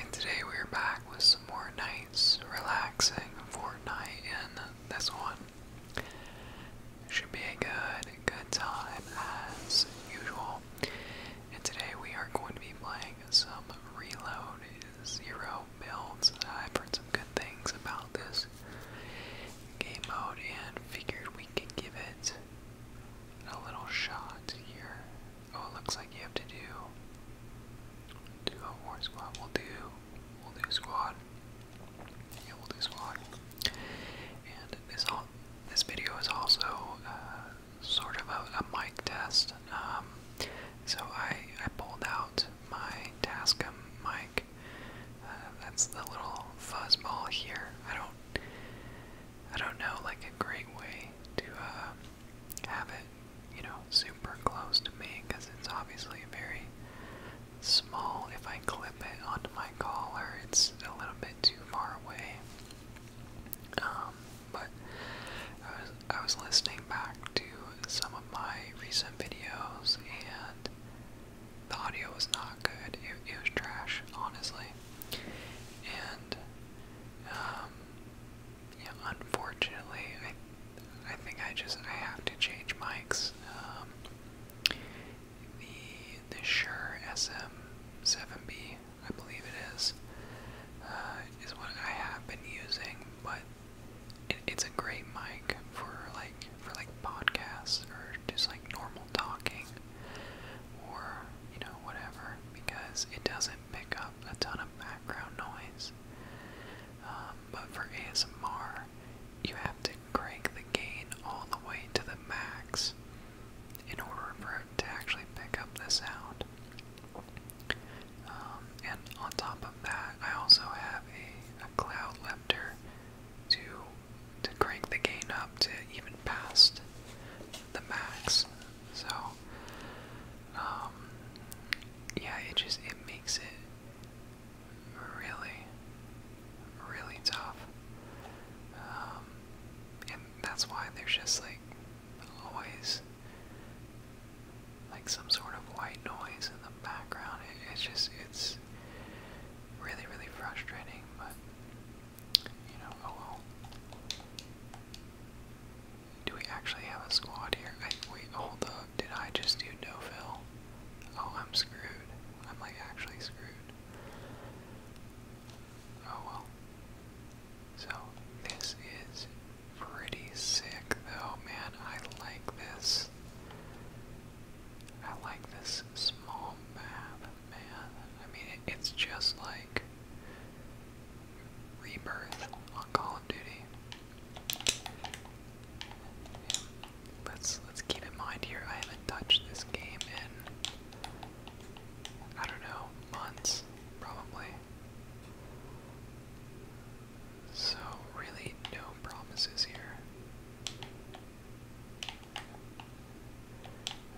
And today we're back with some more nights relaxing Fortnite, and this one should be a good, good time as usual. And today we are going to be playing some Reload Zero builds. I've heard some good things about this game mode and figured we could give it a little shot here Oh, it looks like you have to do do a war squad. We'll do we'll do squad. we'll do squad. And this all this video is also uh, sort of a, mic test. Um, so I I pulled out my Tascam mic. Uh, that's the little fuzz ball here. I don't I don't know, like a great way to uh, have it, you know, super close to me because it's obviously very small. If I clip it onto my collar, it's a little bit too far away. Um, but I was, listening back to some of my recent videos and the audio was not good. It, it was trash, honestly. And um, unfortunately, I, think I just I have to change mics. Um, the the Shure SM7B, I believe it is, uh, is what I have been using, but it's a great mic for like for like podcasts or just like normal talking or you know whatever because it doesn't pick up a ton of background noise. Um, but for ASMR, you have to crank the gain all the way to the max in order for it to actually pick up the sound. Um, and on top of that, I also have a, a cloud lifter to to crank the gain up to even past the max so, um, yeah, it just it makes it really, really tough. Um, and that's why there's just like always like some sort of white noise in the background. It, it's just it's really really frustrating, but you know, oh well. Do we actually have a squad here? I, wait, hold up. Did I just do no fill? Oh, I'm screwed. I'm like actually screwed. Oh well. So, this is pretty sick though, man. I like this. I like this small map man, I mean, it's just like Rebirth on Call of Duty. Let's let's keep in mind here. I haven't touched this game in I don't know months, probably. So really, no promises here.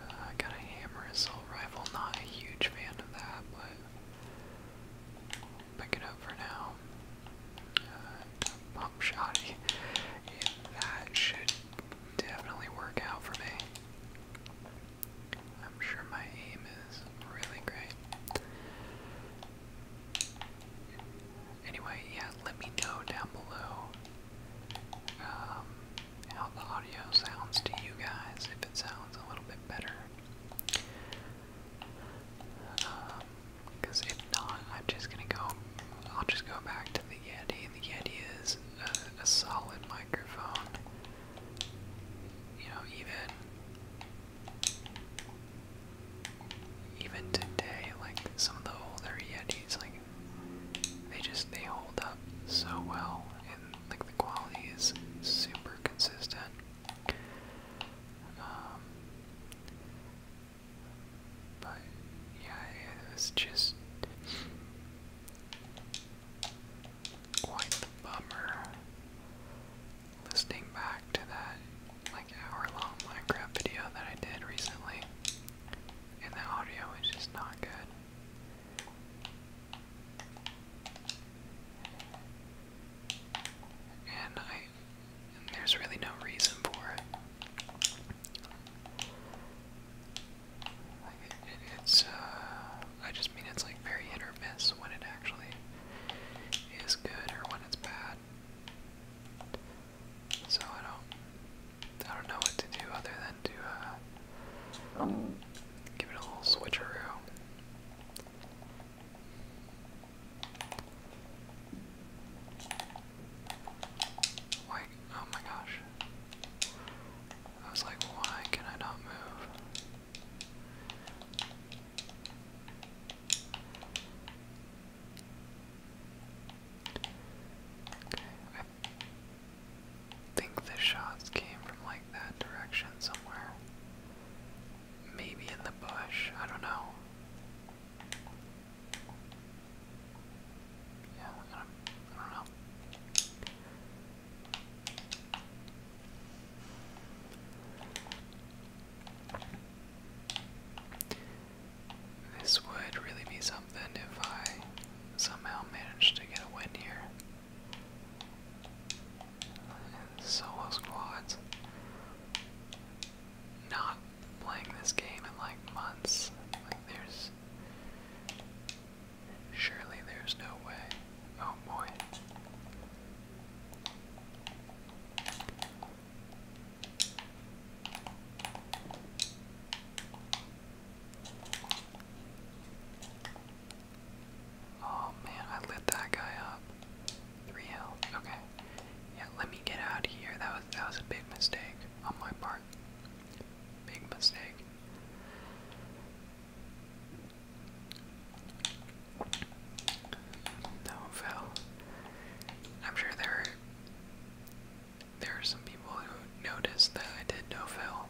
Uh, I got a hammer assault rifle. Not a huge fan of that, but pick it up for now. Uh, pump shotty. Yeah, that should definitely work out for me. I'm sure my aim is really great. Anyway, yeah, let me know down below um, how the audio sounds to you guys, if it sounds a little bit better. Because um, if not, I'm just gonna go. I'll just go back to the Yeti. The Yeti is a solid microphone. You know, even even today, like some of the older Yetis, like they just they hold up so well and like the quality is super consistent. Um, but yeah, it was just quite the bummer listening back to that like hour-long Minecraft video that I did recently, and the audio is just not good. And I there's really no reason for it. it's uh, I just mean it's like very hit or miss when it actually is good or when it's bad. So I don't I don't know what to do other than to uh, um, give it a little switcheroo. Why? Oh my gosh. I was like, why can I not move? Okay, think the shots came from like that direction somewhere. Maybe in the bush, I don't know. Yeah, I don't know. This would really be something if I somehow managed to get a win here. solo squads. Not playing this game in like months. Like there's surely there's no way. Oh boy. Oh man, I lit that guy up. Three health. Okay. Yeah, let me get out of here. That was that was a big mistake on my part. Big mistake. No fell. I'm sure there are there are some people who noticed that I did no fail,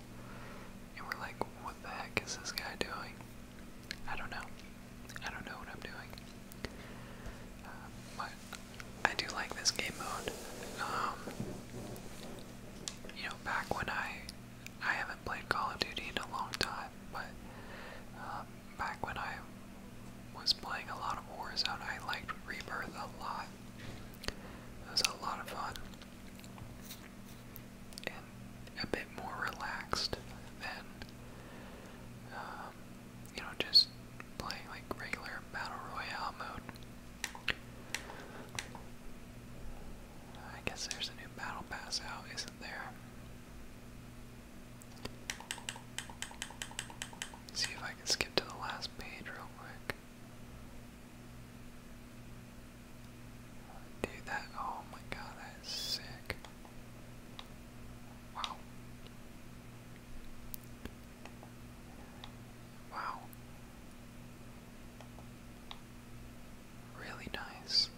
and were like, what the heck is this guy doing? I don't know. I don't know what I'm doing. Uh, but I do like this game mode. Um, you know, back when I I haven't played Call of Duty in a long time, but um, back when I was playing a lot of Warzone, I liked Rebirth a lot. It was a lot of fun and a bit more relaxed than, um, you know, just playing like regular battle royale mode. I guess there's a new battle pass out, isn't there? see if I can skip to the last page real quick. Dude, that, oh my god, that is sick. Wow. Wow. Really nice.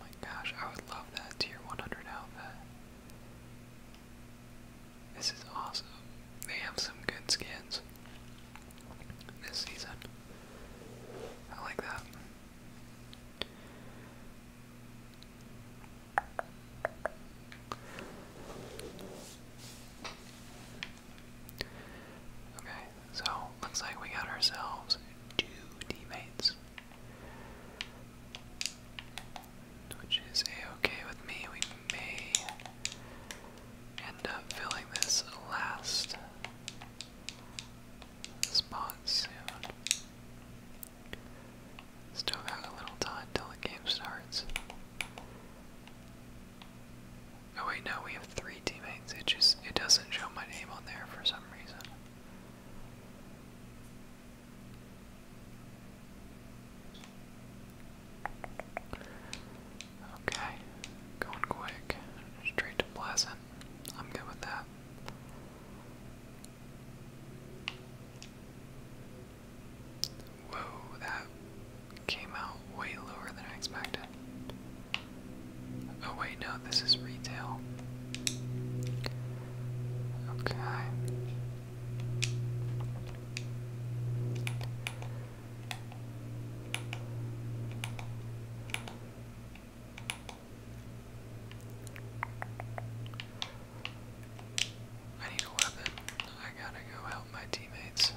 My gosh, I would love that tier 100 outfit. This is awesome. They have some good skins this season. I like that. Okay, so looks like we got ourselves two teammates. Which is a okay with me may end up filling this last spot soon. Still got a little time till the game starts. Oh wait, no, we have three teammates. It just it doesn't show my name on there for some reason. Okay, going quick, straight to Pleasant. I'm good with that. Whoa, that came out way lower than I expected. Oh, wait, no, this is retail. Okay. I need a weapon. I gotta go help my teammates.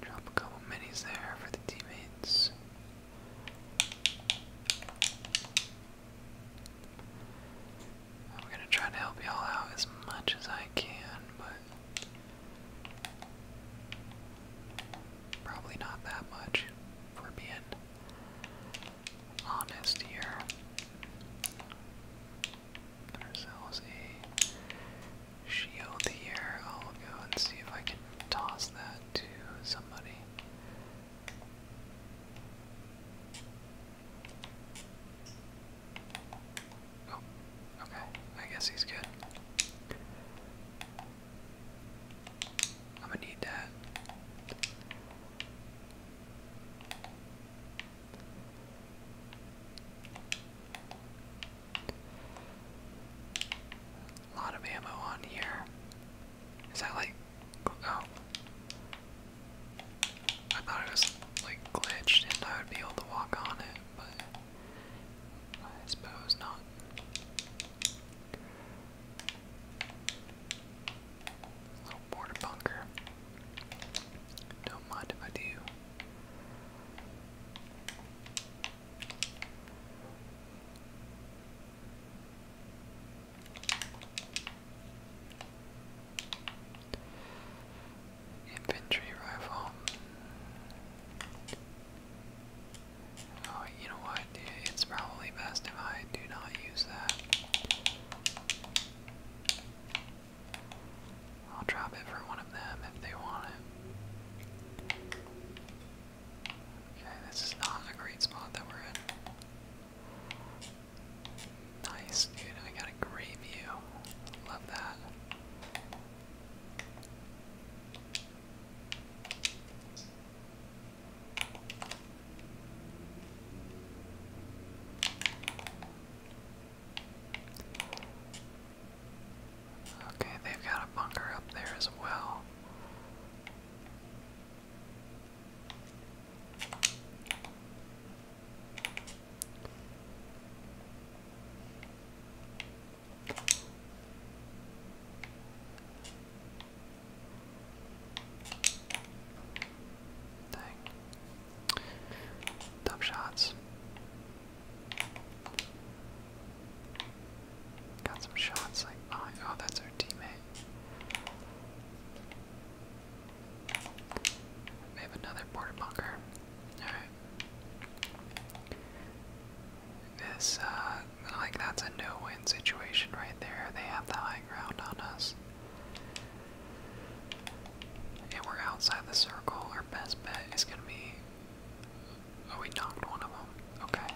Drop a couple minis there for the teammates. I'm gonna try to help y'all out as much as I can, but Probably not that much, for being honest here. Ourselves a shield here. I'll go and see if I can toss that to somebody. Oh, Okay, I guess he's good. I'm gonna need that. A lot of ammo on here. Is that like. Oh. I thought it was like glitched and I would be able to walk on it, but. I suppose not. Little border bunker. Don't mind if I Infantry rifle. Oh, you know what? It's probably best if I do not use that. I'll drop it for one of them if they want it. Okay, this is not a great spot that we're in. Nice, dude. I got a great view. Love that. Okay, they've got a bunker up there as well. Dang. Dumb shots. Got some shots like oh, oh, that's our teammate. We have another border bunker. Alright. This, uh, like, that's a no-win situation right there. They have the high ground on us. And we're outside the circle. Our best bet is gonna be... Oh, we knocked one of them. Okay.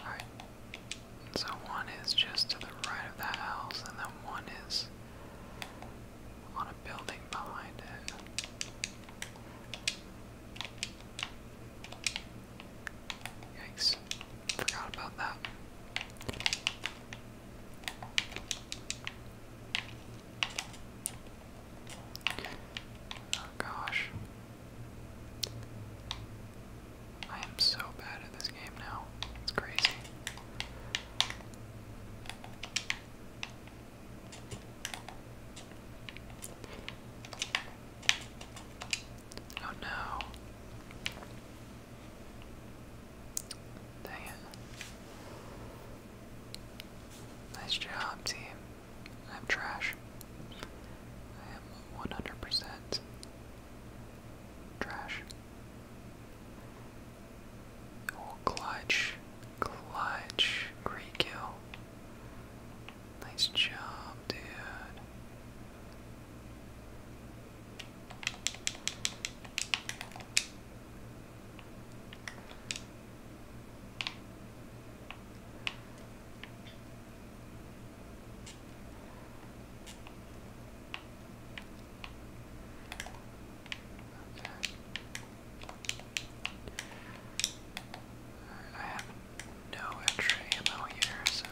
Alright. So one is just to the right of that house, and then one is on a building behind it. Yikes. Forgot about that. Oh gosh. I am so bad at this game now. It's crazy. Oh no. Dang it. Nice job, team. I'm trash. I am 100% trash. Oh, clutch. Clutch. Great kill. Nice job, dude. I have no extra ammo here, so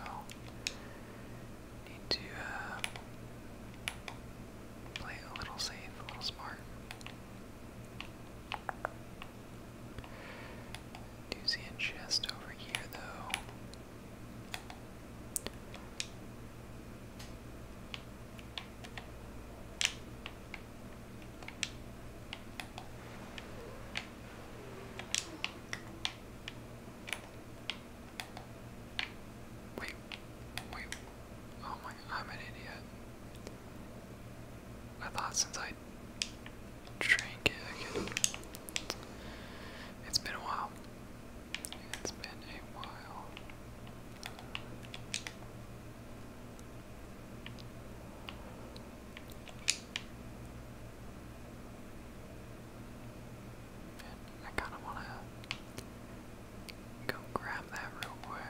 need to uh, play a little safe, a little smart. Do see a chest over here, though. Wait, wait, Oh my, I'm an idiot. I thought since I drank it, It's been a while. It's been a while. I kind of want to go grab that real quick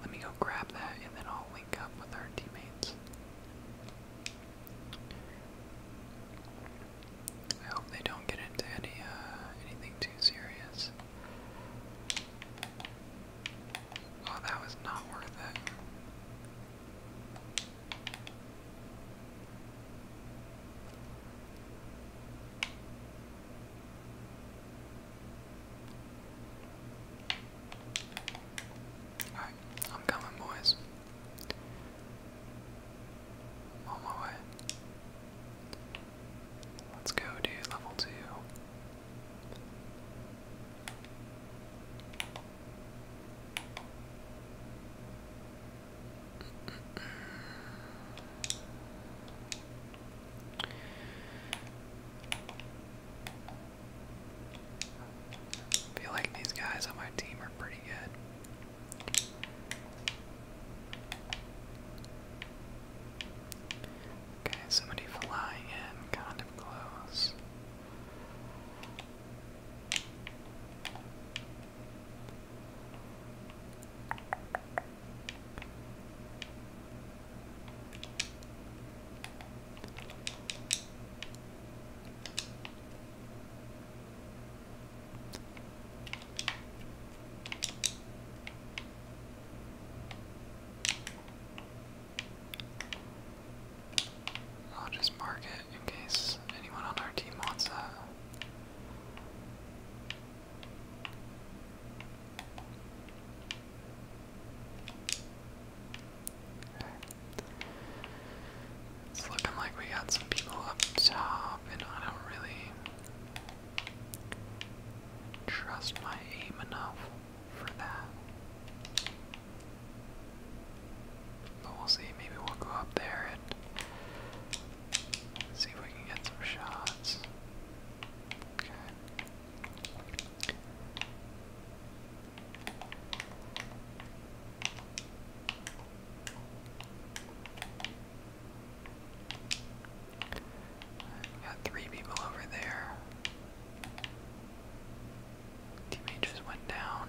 let me go grab that and then I'll link up with our teammates. I hope they don't get into any uh, anything too serious. Oh, that was not worth it. Alright, I'm coming, boys. on my way. Let's go, dude. Level two feel like these guys on my team are pretty good. Okay, somebody flying in, kind of close. I'll just mark it in case anyone on our team wants that. It's looking like we got some people up top, and I don't really trust my aim enough for that. But we'll see, maybe we'll go up there and Let's see if we can get some shots. Okay. got three people over there. Teammate just went down.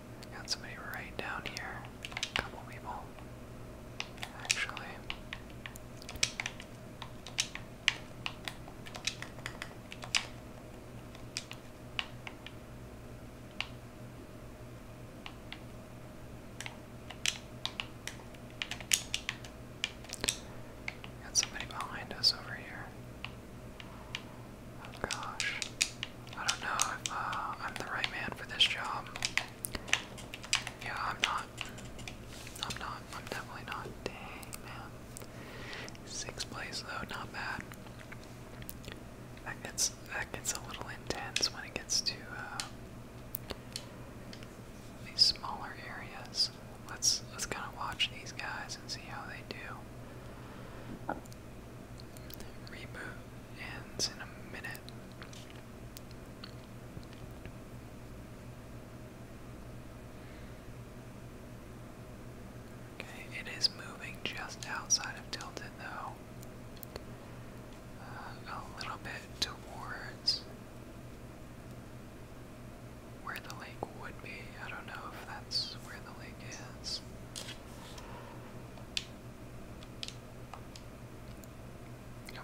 Got somebody right down here. A couple people, actually. Got somebody behind us over here. Oh gosh. I don't know if uh, I'm the right man for this job. Yeah, I'm not. I'm not. I'm definitely not. Dang, place though, not bad. That gets that gets a little intense when it gets to uh, these smaller areas. Let's let's kind of watch these guys and see how they do. Reboot ends in a minute. Okay, it is moving just outside of Tilted though. Uh, a little bit towards where the lake would be. I don't know if that's where the lake is. Okay,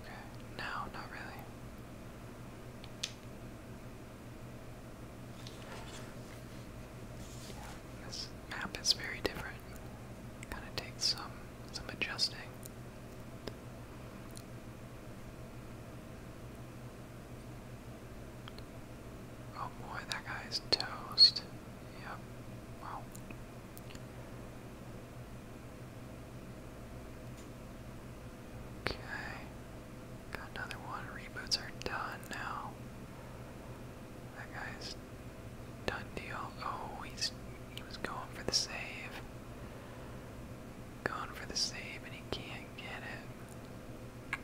no, not really. this map is very different. Kind of takes some some adjusting. Oh boy, that guy's toast. Yep. Wow. Okay. Got another one. Reboots are done now. That guy's done deal. Oh, he's he was going for the save. Going for the save and he can't get it.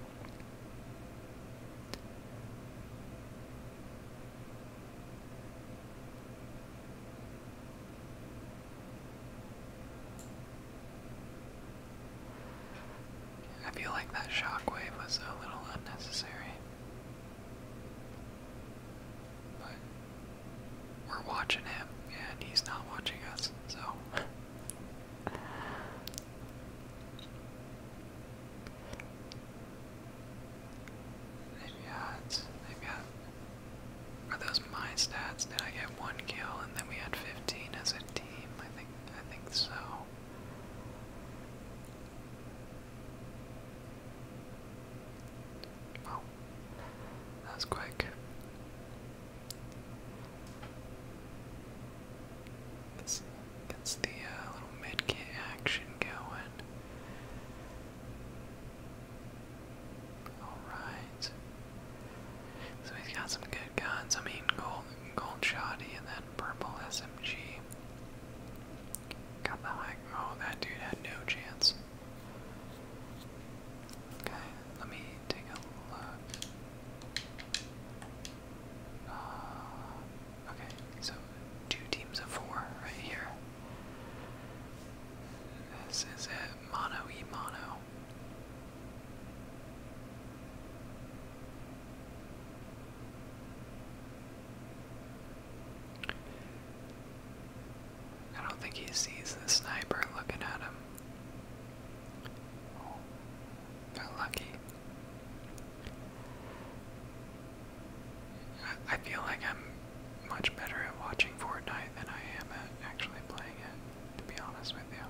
I feel like that shockwave was a little unnecessary. But we're watching him, and he's not watching us, so. they got, they got, are those my stats? Did I get one kill and then we had 15 as a team? I think, I think so. Oh, that was quick. Gets the uh, little mid-kit action going. Alright. So he's got some good guns. I mean, gold, gold shoddy and then purple SMG. Got the high. Oh, that dude had no chance. Okay, let me take a look. Uh, Okay, so two teams of four right here. This is it, mono e mono. I don't think he sees the sniper looking at him. Oh, got lucky. I feel like I'm much better at watching Fortnite than I am at actually playing it, to be honest with you.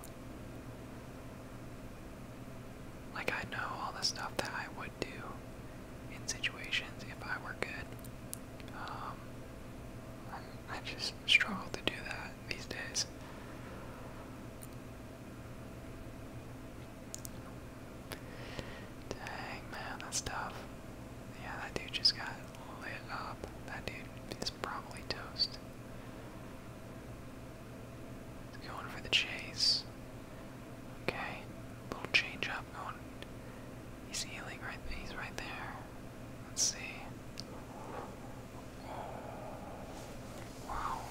Like, I know all the stuff that I would do in situations if I were good. Um, I just struggle to do that these days. Dang, man, that's tough. Yeah, that dude just got lit up. That dude is probably toast. going for the chase. Okay, little change up He's healing right He's right there. Let's see. wow.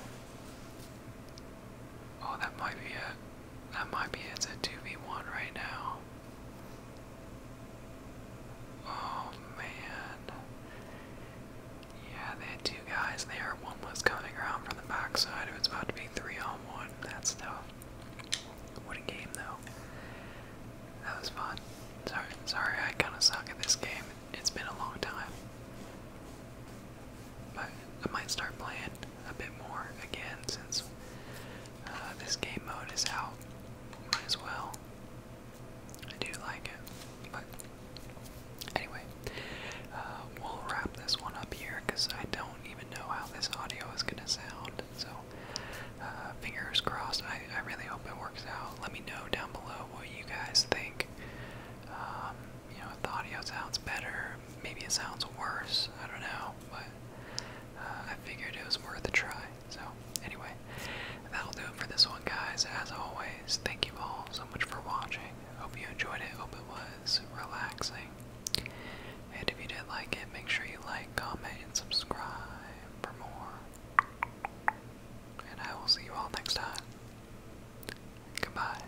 Oh, that might be it. That might be it's a 2v1 right now. Oh man. Yeah, they had two guys there. One was coming around from the backside. It was about to be three on one. That's tough. What a game though. That was fun. Sorry, sorry, I kinda suck at this game. It's been a long time. I, I might start playing a bit more again since uh, this game mode is out. Might as well. I do like it, but anyway, uh, we'll wrap this one up here because I don't even know how this audio is gonna sound. So, uh, fingers crossed. I, I really hope it works out. Let me know down below what you guys think. Um, you know, if the audio sounds better, maybe it sounds worse, I don't know, but uh, I figured it was worth a try. So, anyway, that'll do it for this one, guys. As always, thank you all so much for watching. Hope you enjoyed it, hope it was relaxing. And if you did like it, make sure you like, comment, and subscribe for more. And I will see you all next time. Goodbye.